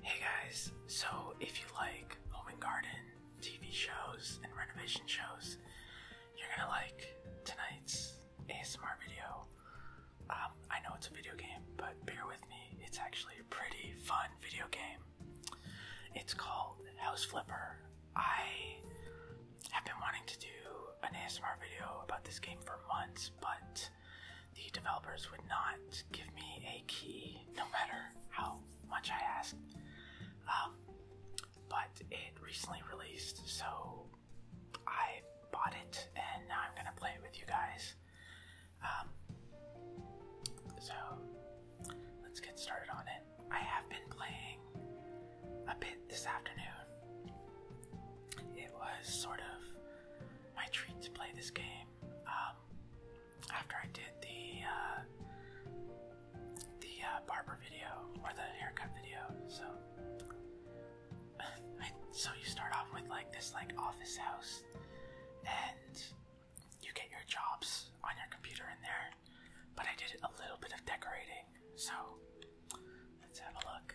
Hey guys, so if you like home and garden TV shows and renovation shows, you're gonna like tonight's ASMR video. Um, I know it's a video game, but bear with me, it's actually a pretty fun video game. It's called House Flipper. I have been wanting to do an ASMR video about this game for months, but the developers would not give me a key, no matter how much I asked. Um, but it recently released, so I bought it, and now I'm gonna play it with you guys. Um, so let's get started on it. I have been playing a bit this afternoon. It was sort of my treat to play this game. Um, after I did the uh, the uh, barber video or the haircut video. So, so you start off with like this like office house, and you get your jobs on your computer in there. But I did a little bit of decorating, so let's have a look.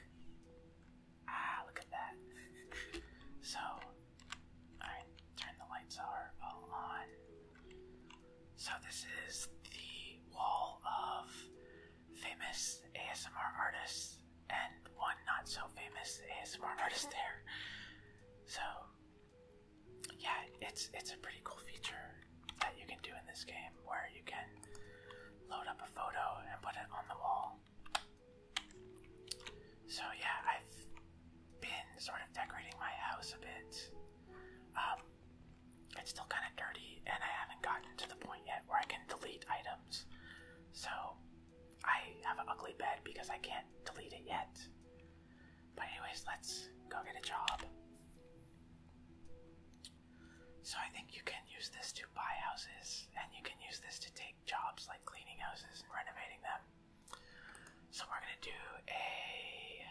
Ah, look at that. so Alright, turn the lights are all on. So, this is the wall of famous ASMR artists and one not so famous ASMR artist there. So, yeah, it's it's a pretty cool feature that you can do in this game where you can load up a photo and put it on the wall so yeah, I've been sort of decorating my house a bit. Um, it's still kind of dirty, and I haven't gotten to the point yet where I can delete items. So I have an ugly bed because I can't delete it yet. But anyways, let's go get a job. So I think you can use this to buy houses, and you can use this to take jobs like cleaning houses and renovating them. So we're gonna do a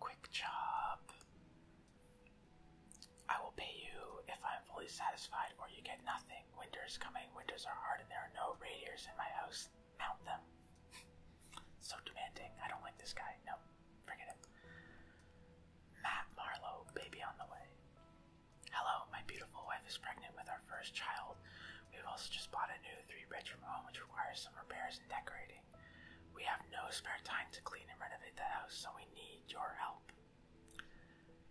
quick job. I will pay you if I'm fully satisfied, or you get nothing. Winters coming. Winters are hard, and there are no radiators in my house. Mount them. so demanding. I don't like this guy. No, forget it. Matt Marlowe, baby on the way. Hello, my beautiful wife is pregnant with our first child. We've also just bought a new three bedroom home which requires some repairs and decorating. We have no spare time to clean and renovate the house, so we need your help.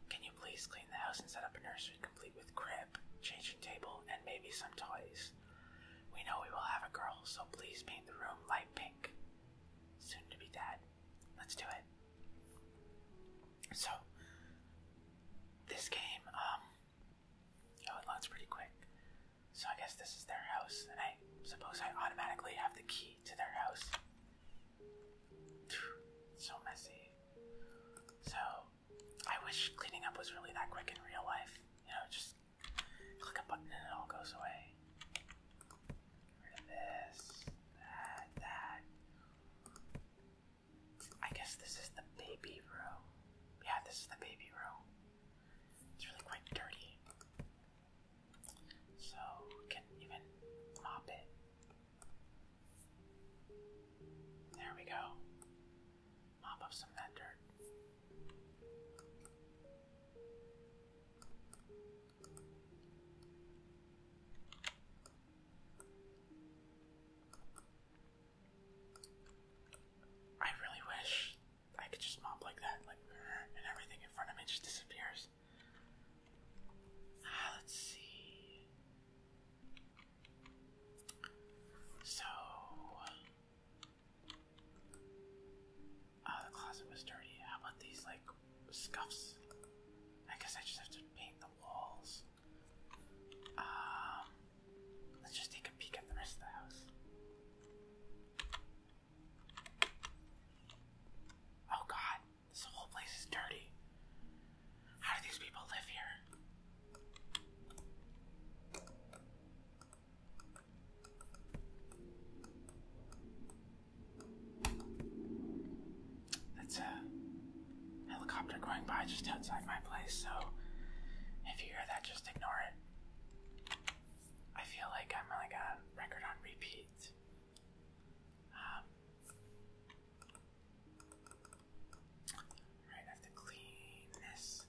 Can you please clean the house and set up a nursery complete with crib, changing table, and maybe some toys? We know we will have a girl, so please paint the room light pink. Soon to be dad. Let's do it. So, this game, um, Oh, it loads pretty quick. So I guess this is their house, and I suppose I automatically have the key to their house. So messy. So I wish cleaning up was really that quick in real life. You know, just click a button and it all goes away. Get rid of this, that, that. I guess this is the baby room. Yeah, this is the baby room. It's really quite dirty. So, can even mop it. There we go. Mop up some that dirt. I really wish I could just mop like that, like and everything in front of me just disappears. Ah, let's see. So, oh, the closet was dirty. How about these like scuffs? I guess I just have to paint the walls. Um, let's just take a peek at the rest of the house. Oh god, this whole place is dirty. How do these people live here? That's a uh, helicopter going by just outside my place, so if you hear that, just ignore it. I feel like I'm like a record on repeat. Um, right, I have to clean this.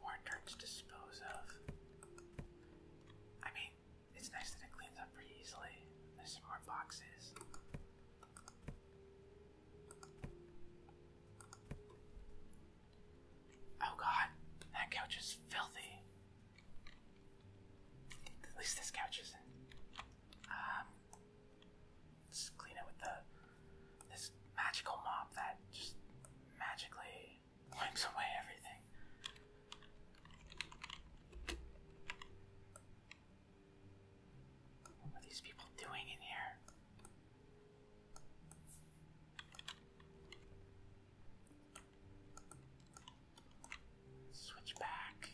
Mortar to dispose of. I mean, it's nice that it cleans up pretty easily. There's some more boxes. Oh god, that couch is filthy. At least this couch isn't. Um, let's clean it with the this magical mop that just magically wipes away everything. What are these people doing in here? Switch back.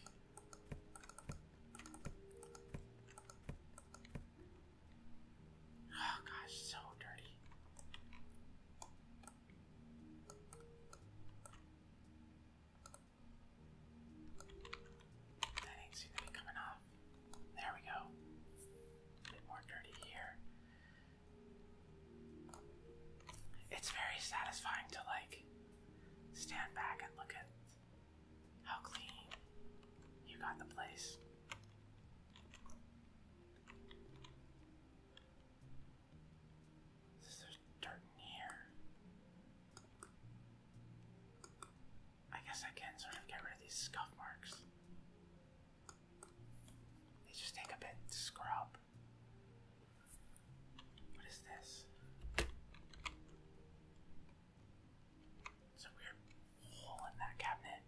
Oh gosh, so dirty. That ain't seem to be coming off. There we go. bit more dirty here. It's very satisfying to like stand back and look at how clean you got the place. Is there dirt in here? I guess I can sort of get rid of these scuff marks. They just take a bit to scrub. What is this? It's weird hole in that cabinet.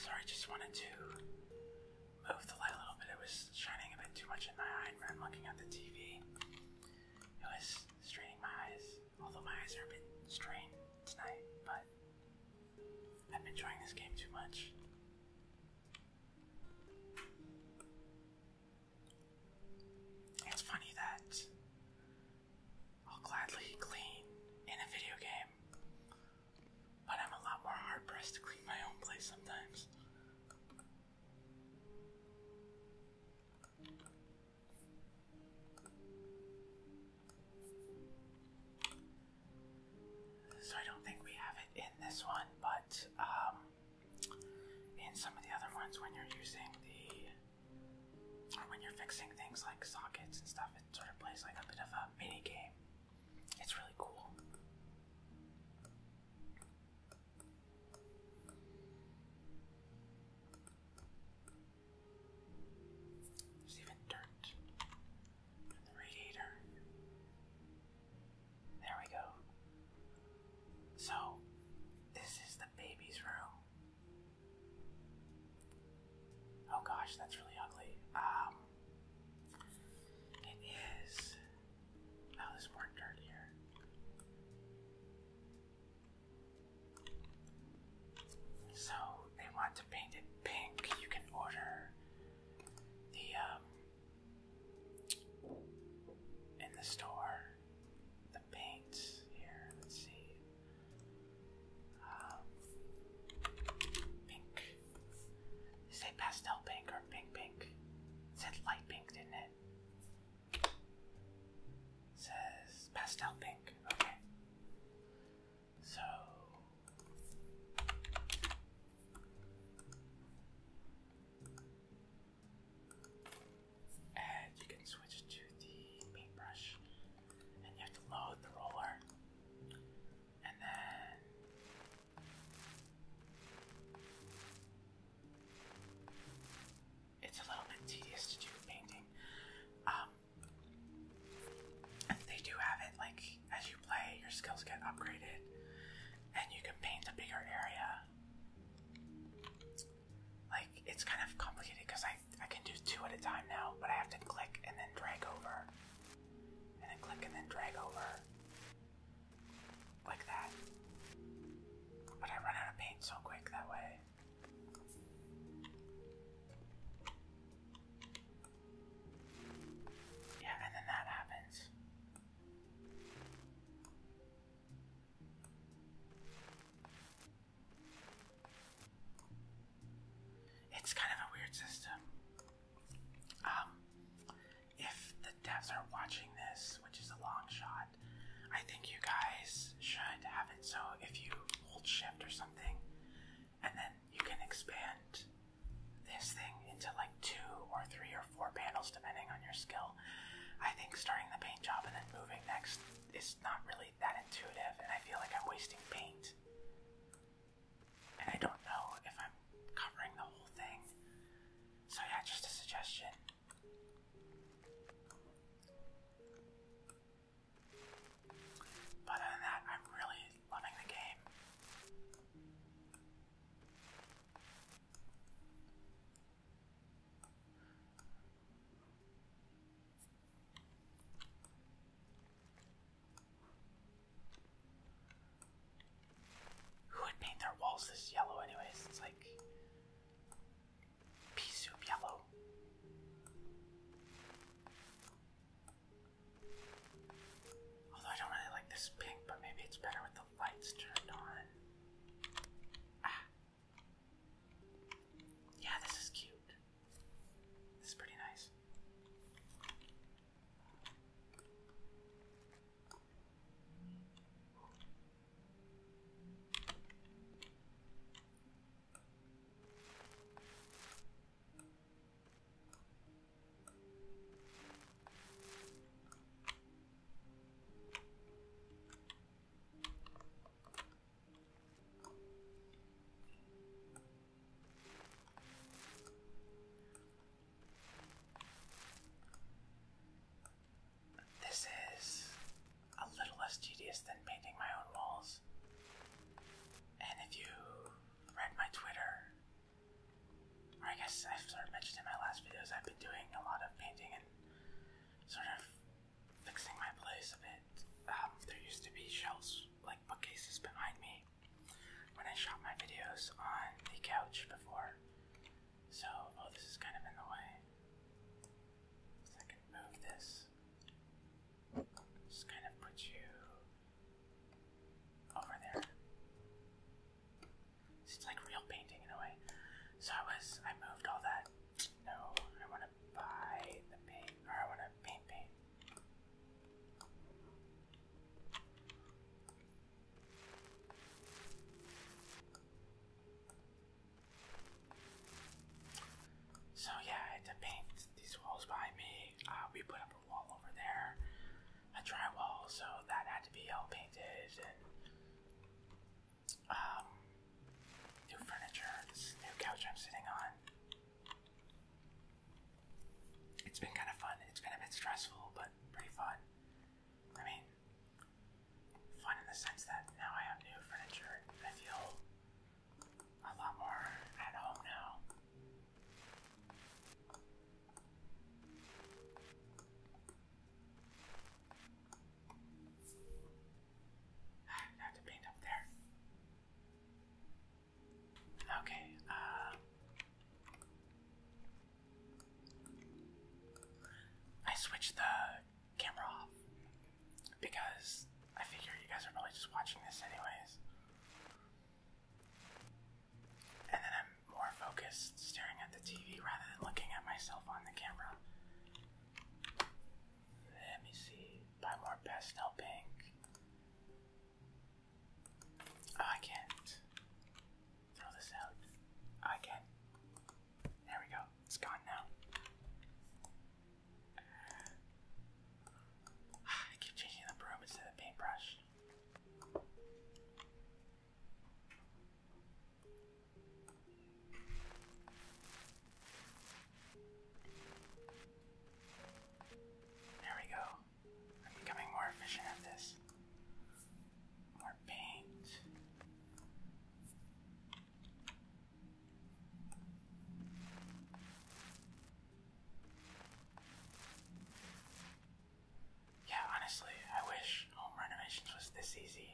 Sorry, just wanted to move the light a little bit. It was shining a bit too much in my eye, and I'm looking at the TV. It was straining my eyes. Although my eyes are a bit strained tonight, but I've been enjoying this game too much. It's funny that I'll gladly clean in a video game, but I'm a lot more hard pressed to clean my own place sometimes. So I don't think we have it in this one, but um, in some of the other ones, when you're using the, when you're fixing things like sockets and stuff, it sort of plays like a bit of a mini game. It's really cool. There's even dirt on the radiator. There we go. So, this is the baby's room. Oh gosh, that's really ugly. Um, it is. Oh, there's more dirt here. So they want to paint it pink. You can order the um, in the store the paints here. Let's see. Um, pink. They say pastel pink or pink pink. It said light pink, didn't It says pastel pink. Okay. So and you can switch to the paintbrush, and you have to load the roller, and then it's a little bit tedious to do painting. Um, they do have it like as you play, your skills get upgraded, and you can paint a bigger area. Like it's kind of complicated because I I can do two at a time now, but I have to click and then drag over, and then click and then drag over, like that. But I run out of paint so quick that way. Yeah, and then that happens. It's kind of a weird system. Um, if the devs are watching this, which is a long shot, I think you guys should have it so if you hold shift or something, and then you can expand this thing into like two or three or four panels depending on your skill. I think starting the paint job and then moving next is not really that intuitive, and I feel like I'm wasting paint. And I don't know if I'm covering the whole thing. So, yeah, just a suggestion. But other than that, I'm really loving the game. Who would paint their walls this yellow, anyways? It's like pea soup yellow. Although I don't really like this pink, but maybe it's better with the lights turned on. Ah. Yeah, this is cute. This is pretty nice. This is a little less tedious than painting my own walls. And if you read my Twitter, or I guess I've sort of mentioned in my last videos, I've been doing a lot of painting and sort of fixing my place a bit. Um, there used to be shelves, like bookcases behind me when I shot my videos on the couch before. So, oh, this is kind of in the way. So I can move this. Just kind of put you over there. It's like real painting in a way. So I was, I moved all that. No, I want to buy the paint, or I want to paint paint. So yeah, I had to paint these walls behind me. Uh, we put up a wall over there, a drywall, so that had to be all painted and um, new furniture, this new couch I'm sitting on. It's been kind of fun. It's been a bit stressful, but pretty fun. I mean, fun in the sense that now I have new furniture I feel a lot more at home now. I have to paint up there. Okay, uh I switched the camera off because I figure you guys are probably just watching this anyways. And then I'm more focused staring at the TV rather than looking at myself on the camera. Let me see. Buy more pastel pink. Oh, I can't. Throw this out. Oh, I can. There we go. It's gone now. I keep changing the broom instead of the paintbrush. There we go. I'm becoming more efficient at this. More paint. Yeah, honestly, I wish home renovations was this easy.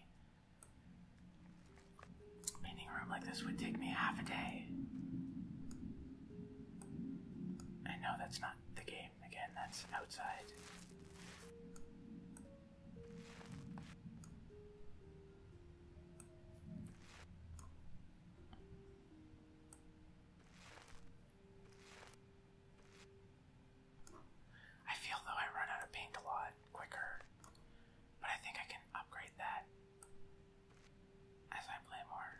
Painting a room like this would take me half a day. I know that's not the game, again, that's outside. I feel though I run out of paint a lot quicker, but I think I can upgrade that as I play more.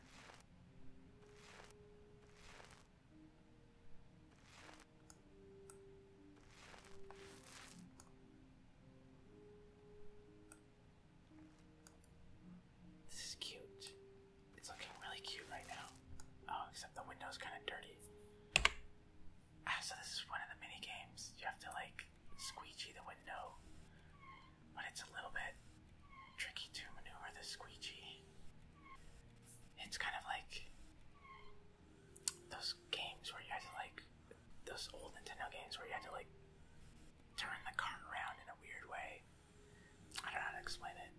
This is cute. It's looking really cute right now. Oh, except the window's kind of dirty. Ah, so this is one of the mini games. You have to like squeegee the window, but it's a little bit tricky to maneuver the squeegee. It's kind of like those games where you had to like those old Nintendo games where you had to like turn the car around in a weird way. I don't know how to explain it.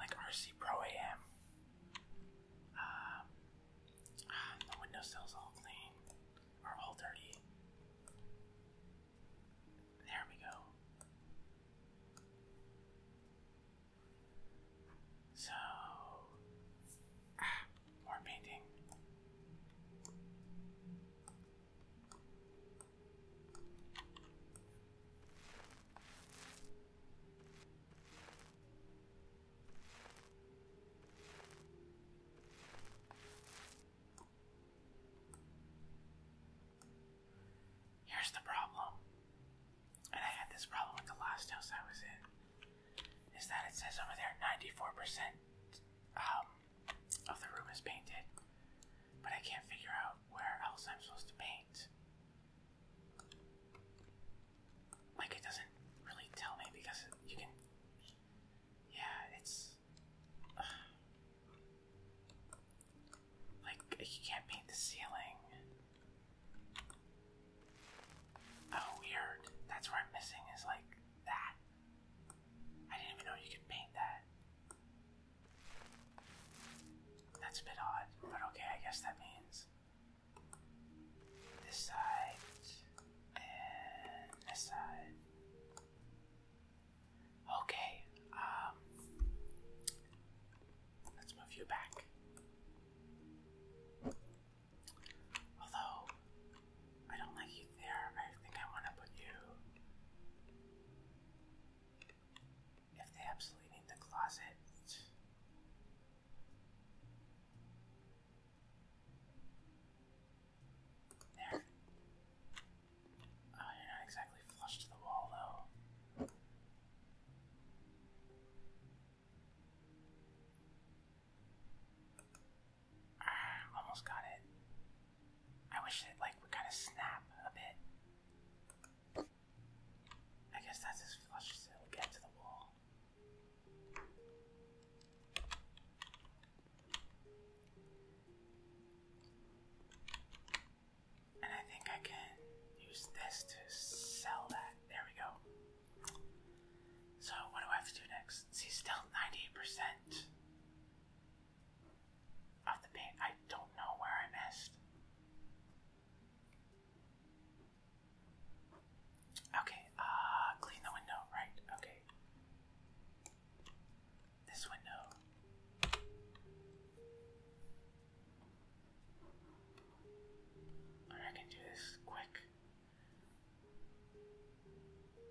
Like RC Pro AM. Uh, um, uh, the windowsill's all clean, or all dirty. There we go. So, ah, more painting. Here's the problem, and I had this problem with the last house I was in, is that it says over there 94% of the room is painted, but I can't figure out where else I'm supposed to paint. Like, it doesn't really tell me because you can. Yeah, it's. like, you can't paint the ceiling. Oh, weird. That's where I'm missing, is like that. I didn't even know you could paint that. That's a bit odd, but okay, I guess that means this side and this side. Okay, um, let's move you back. Although, I don't like you there, I think I want to put you. If they absolutely need the closet. There. Oh, not exactly flush to the wall, though. Ah, almost got it. I wish it like would kind of snap a bit. I guess that's as flush as it'll get to the wall. And I think I can use this to sell that. There we go. So, what do I have to do next? See, still 98% of the paint. I don't know where I missed. Okay, uh, clean the window, right? Okay. This window. I can do this quick.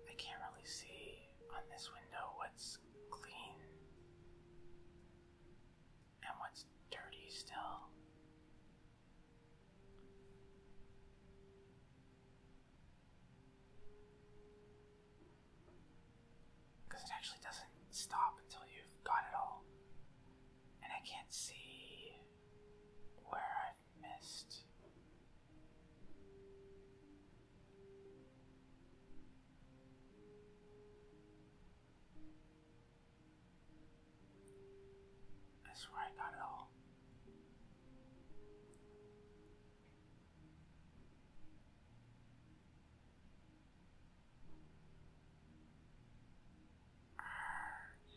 I can't really see on this window what's clean and what's dirty still. Because it actually doesn't stop until you've got it all. And I can't see where I've missed that's swear I got it all. Arrgh.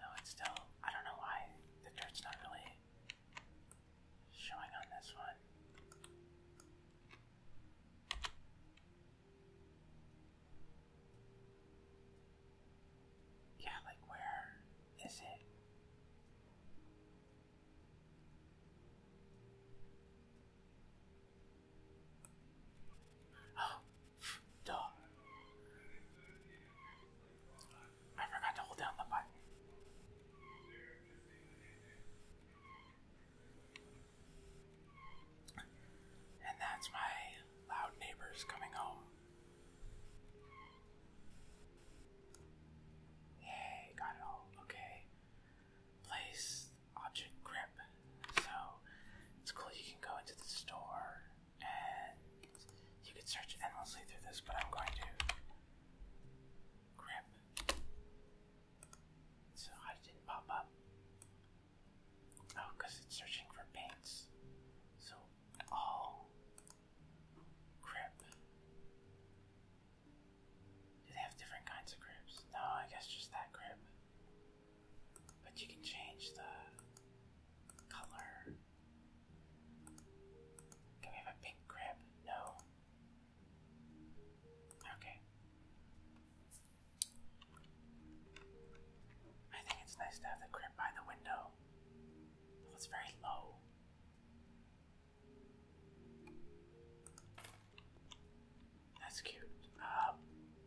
No, it's still. I don't know why the dirt's not really showing on this one. Yeah, like where is it? Oh, Duh. I forgot to hold down the button. And that's my loud neighbors coming home. Yay, got it all. Okay. Place object grip. So it's cool you can go into the store and you could search endlessly through this, but I'm going to grab So I didn't pop up. Oh, it's searching for paints. So all oh, Do they have different kinds of cribs? No, I guess just that crib. But you can change the color. Can we have a pink crib? No. Okay. I think it's nice to have the crib by the window. it's very low. That's cute. Uh,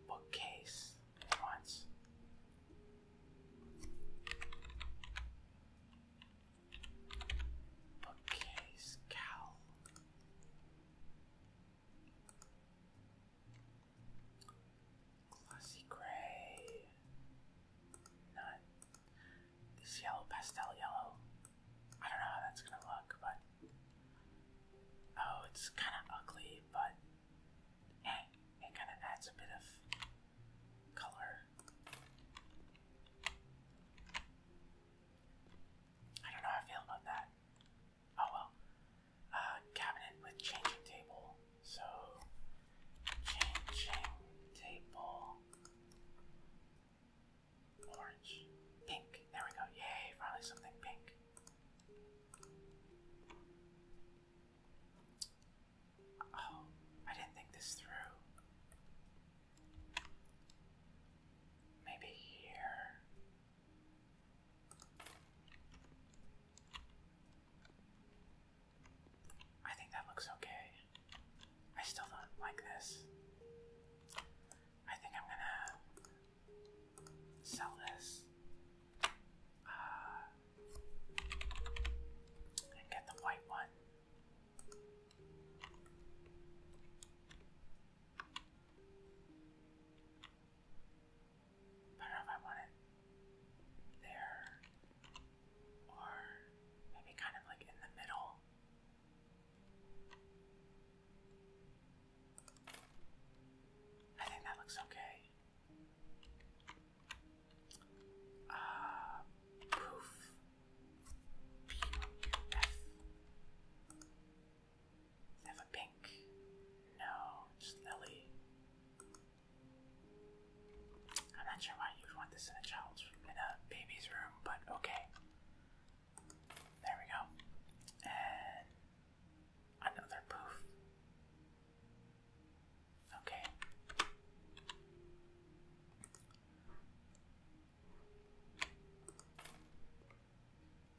bookcase once. Bookcase, cowl. Glossy gray. None. This yellow, pastel yellow. I don't know how that's gonna look, but. Oh, it's kind of ugly, but and it kind of adds a bit of color. I don't know how I feel about that. Oh well. Uh, cabinet with changing table. So, changing table. Orange. Pink. There we go. Yay, finally something pink. Oh, I didn't think this through. Maybe here. I think that looks okay. I still don't like this. I think I'm gonna sell this uh, and get the white one. I don't know if I want it there or maybe kind of like in the middle. I think that looks okay. Uh, poof. P U F. have a pink? No, just Lily. am not sure why you would want this in a child's in a baby's room, but okay. There we go. And another poof. Okay.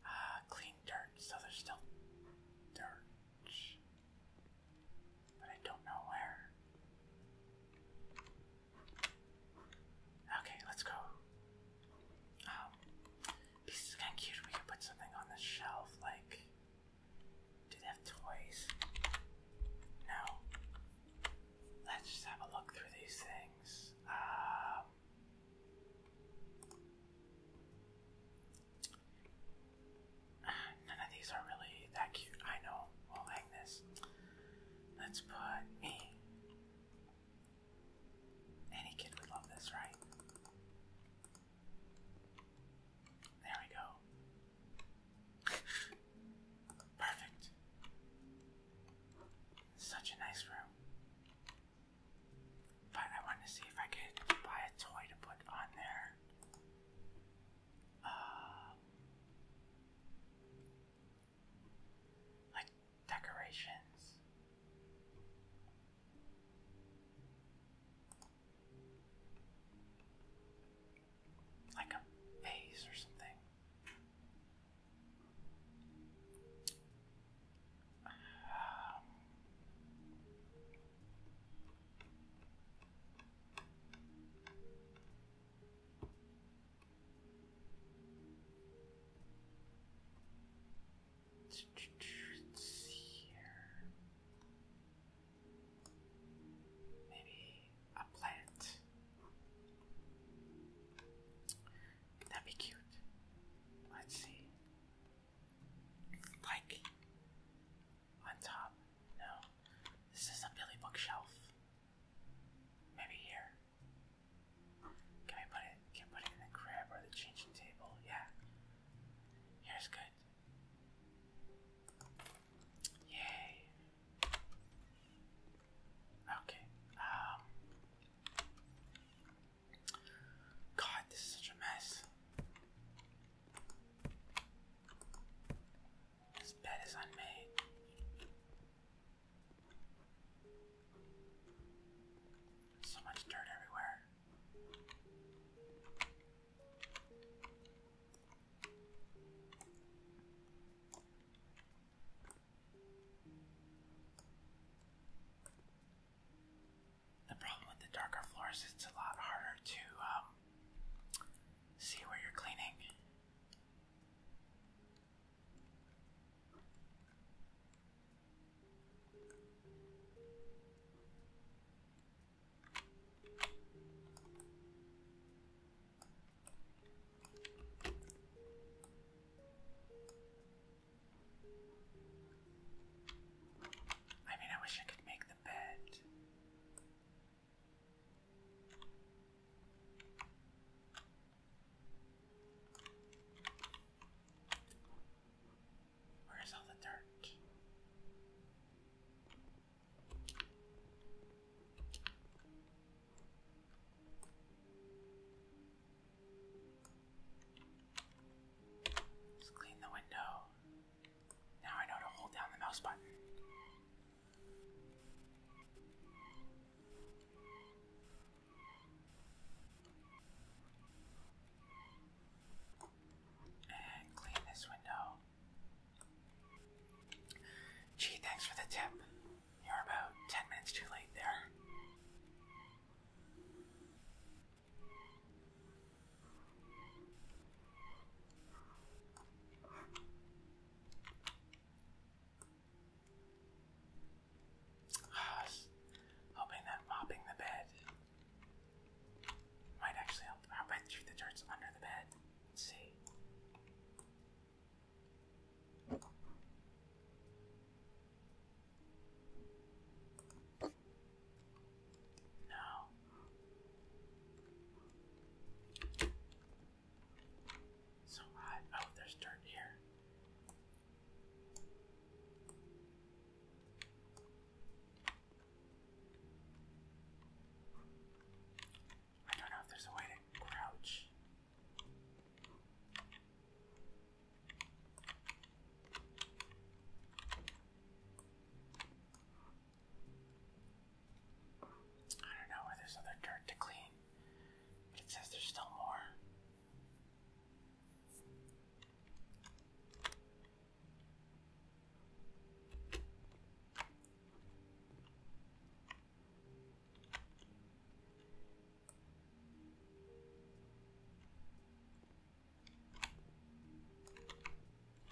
Ah, clean dirt, so there's still dirt. But I don't know where. Okay, let's go. Um, this is kind cute. We could put something on the shelf, like do they have toys? No. Let's just have a look through these things. Um, none of these are really that cute. I know. We'll hang this. Let's put me. Any kid would love this, right? There we go. Perfect. Such a nice room. But I wanted to see if I could buy a toy to put on there. Uh, like decorations. Like a vase or something. Let's see here. Maybe a plant. That'd be cute. Let's see. Like on top. No. This is a Billy bookshelf. Maybe here. Can I put it can I put it in the crib or the changing table? Yeah. Here's good. Yay. Okay. Um God, this is such a mess. This bed is unmade. So much dirt everywhere. The problem with the darker floors is it's a lot harder to um, see where you're cleaning. I mean, I wish I could make the bed. Where's all the dirt? let clean the window. Now I know to hold down the mouse button. And clean this window. Gee, thanks for the tip. You're about 10 minutes too late there. I was that mopping the bed might actually help. How about shoot the charts under the bed? see. No. So hot. Oh, there's dirt here. I don't know if there's a way to crouch. I don't know where there's other dirt to clean, but it says there's still more.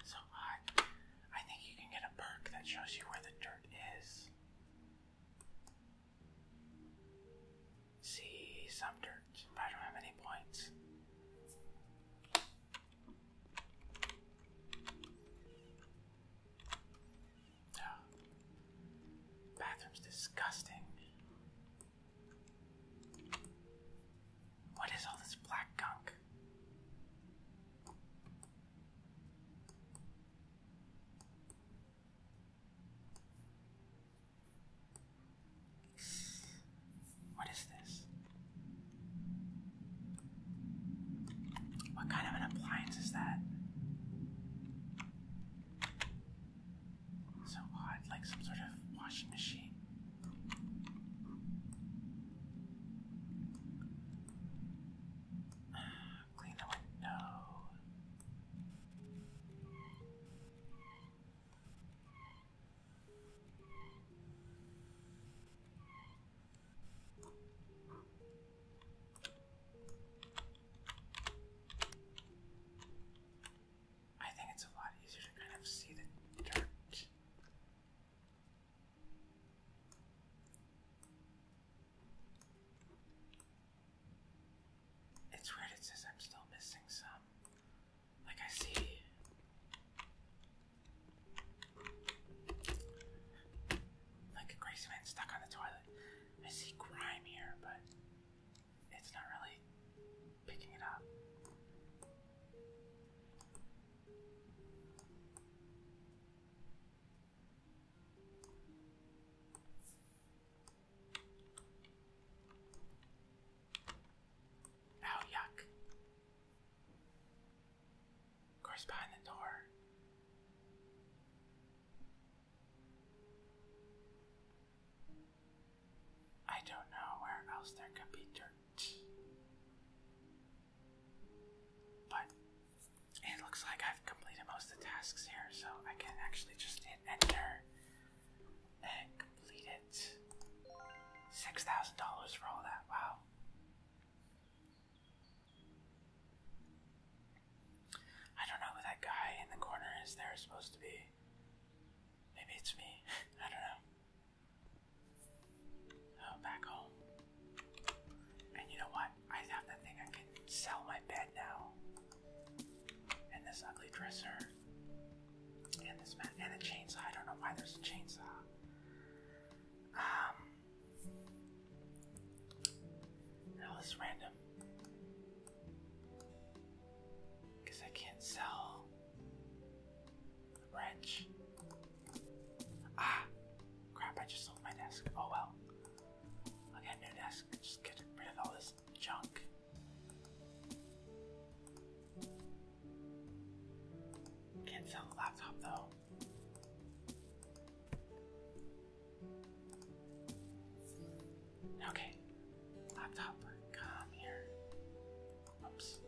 So I I think you can get a perk that shows you where the dirt is. See some dirt, I don't have any points. Bathroom's disgusting. What is all this black gunk? What is this? What kind of an appliance is that? So odd, like some sort of washing machine. Clean the window. I think it's a lot easier to kind of see the dirt. It's weird, it says I'm still missing some. Like I see. Like a crazy man stuck on the toilet. I see grime here, but it's not really picking it up. Ow, oh, yuck. Of course, behind the door. I don't know where else there could be dirt. But it looks like I've completed most of the tasks here, so I can actually just hit enter and complete it. Six thousand dollars for all that, wow. I don't know who that guy in the corner is There is supposed to be. Maybe it's me. I don't know. Oh, back home. And you know what? I have that thing I can sell my bed now. And this ugly dresser. And this man and a chainsaw. I don't know why there's a chainsaw. Um this random because I can't sell the wrench. Ah crap, I just sold my desk. Oh well. I'll get a new desk. Just get rid of all this junk. Can't sell the laptop though. Okay, laptop, come here. Oops.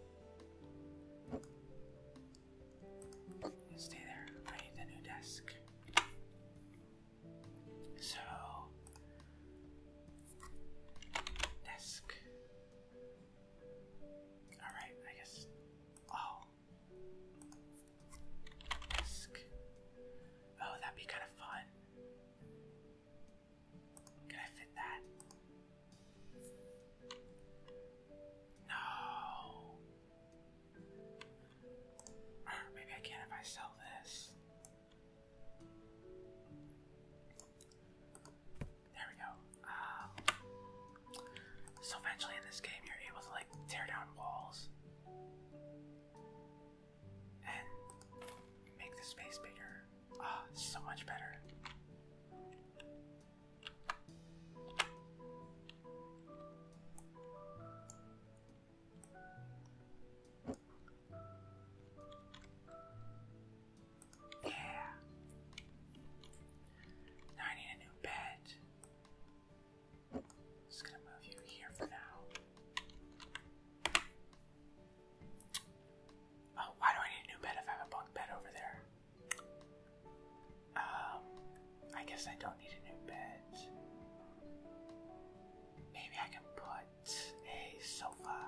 Stay there. I need a new desk. So, desk. Alright, I guess. Oh. Oh, that'd be kind of fun. Can I fit that? No. maybe I can if I sell this. There we go. Um, so eventually in this game, you're able to like tear down walls and make the space bigger. Ah, so much better. Yeah. I need a new bed. Just gonna move you here for now. Oh, why do I need a new bed if I have a bunk bed over there? Um, I guess I don't need a new bed. Maybe I can put a sofa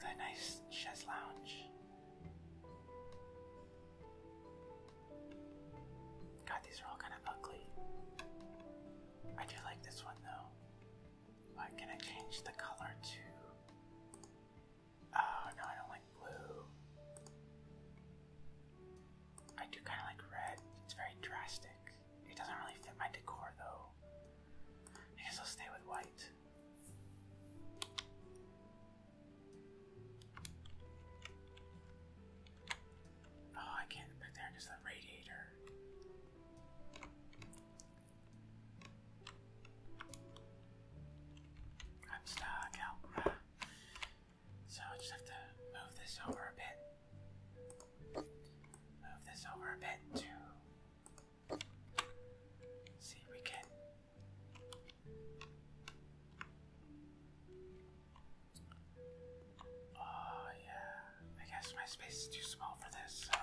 with nice chess lounge. God, these are all kind of ugly. I do like this one though. can I change the color to? Oh no, I don't like blue. I do kind of like red. It's very drastic. It doesn't really fit my decor though. I guess I'll stay with white. Oh, I can't put there the radiator. I'm stuck out. So I just have to move this over a bit. Move this over a bit to See, we can Oh yeah, I guess my space is too small for this, so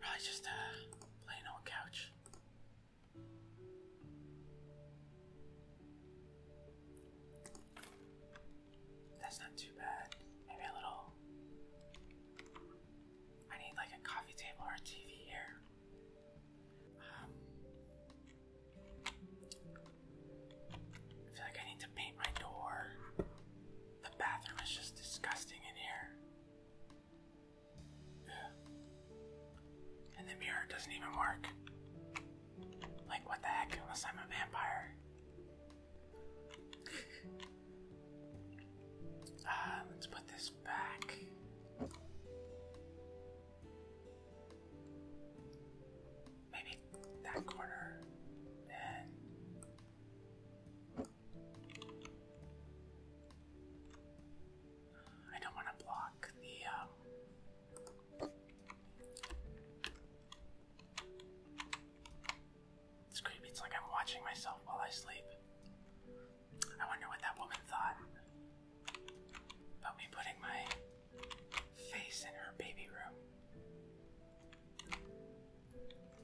probably just a plain old couch. That's not too bad. Maybe a little I need like a coffee table or a TV here. Um, I feel like I need to paint my door. The bathroom is just disgusting in here. And the mirror doesn't even work. Like, what the heck, unless I'm a vampire. Ah, let's put this back. Maybe that corner. I don't want to block the. Um, it's creepy. It's like I'm watching myself while I sleep. I wonder what that woman thought about me putting my face in her baby room.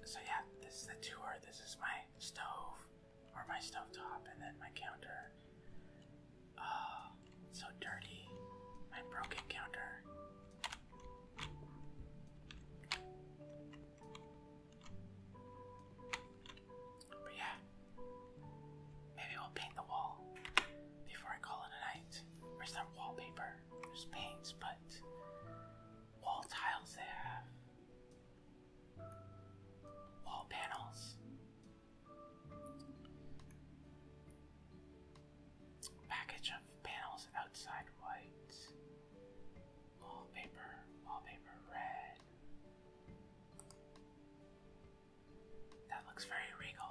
So, yeah, this is the tour. This is my stove, or my stove and then my counter. Oh, so dirty. My broken counter. But yeah, maybe we'll paint the wall before I call it a night. Or it's wallpaper, there's paints, but wall tiles they have, wall panels. Package of panels outside white. Wallpaper, wallpaper red. That looks very regal.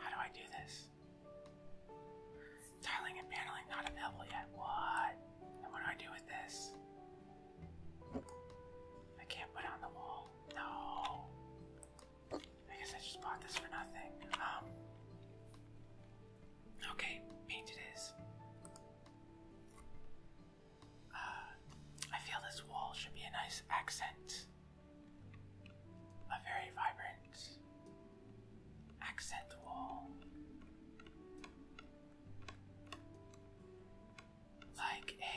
How do I do this? Tiling and paneling not available yet. What? And what do I do with this? I can't put on the wall. No. I guess I just bought this for nothing. Um, okay, paint it is. Uh, I feel this wall should be a nice accent. A very vibrant accent wall. Like a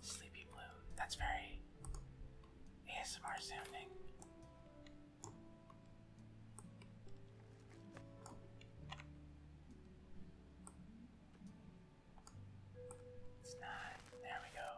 sleepy blue. That's very ASMR sounding. It's not. There we go.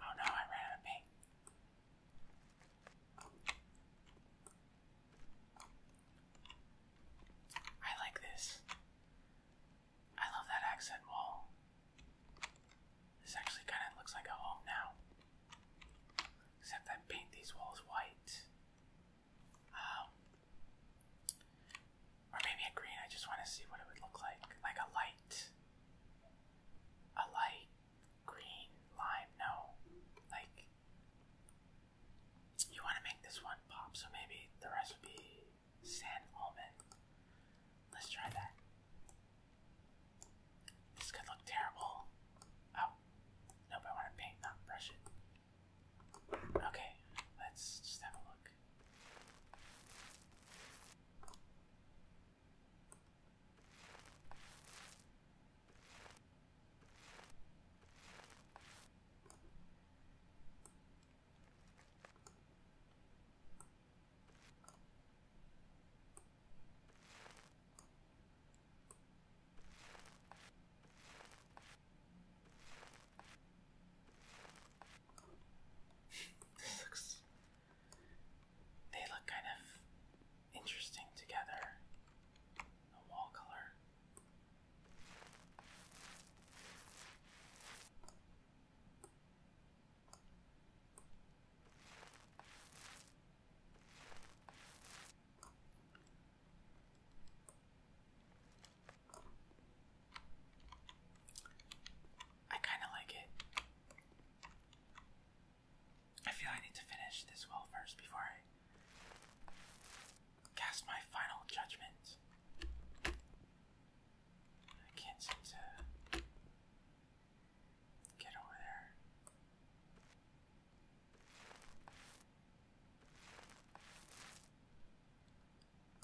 Oh no, I ran out of paint. I like this. I love that accent wall. This actually kind of looks like a home now. Except I paint these walls white. Um, or maybe a green. I just want to see what it would look like. Like a light. A light green lime. No. Like. You want to make this one pop, so maybe the rest Sand almond. Let's try that. This could look terrible. Oh, no, I want to paint, not brush it. Okay, let's just have a look this They look kind of interesting together. The wall color. I kind of like it. I feel I need to finish this well first before I cast my final judgment. I can't seem to get over there.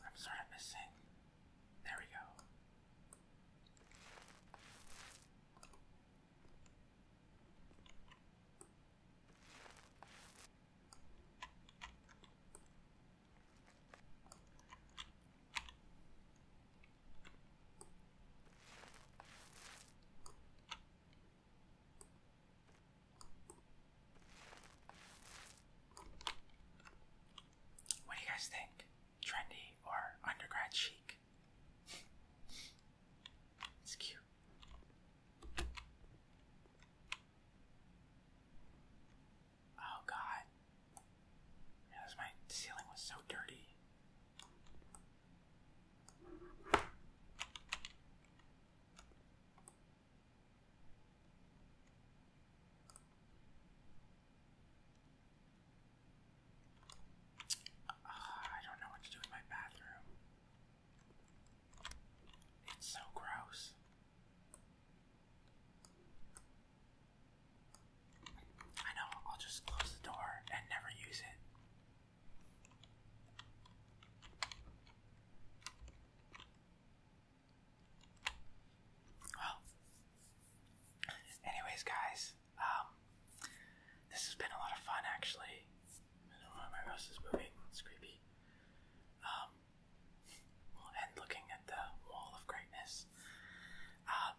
I'm sort of missing. There we go. What do you guys think? Trendy or undergrad chic? it's cute. Oh god. Yeah, my ceiling was so dirty. Ah, I don't know what to do with my bathroom. It's so gross. I know, I'll just close the door and never use it. Well, anyways, guys, um, this has been a lot of fun actually. why my mouse is moving, it's creepy. Um, and looking at the wall of greatness. Um,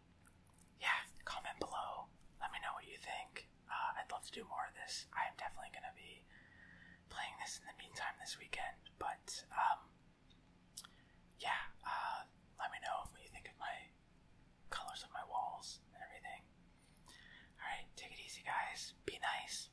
yeah, comment below. Let me know what you think. Uh, I'd love to do more of this. I am definitely going to be playing this in the meantime this weekend, but um, yeah, uh, let me know what you think of my colors of my walls and everything. Alright, take it easy, guys. Be nice.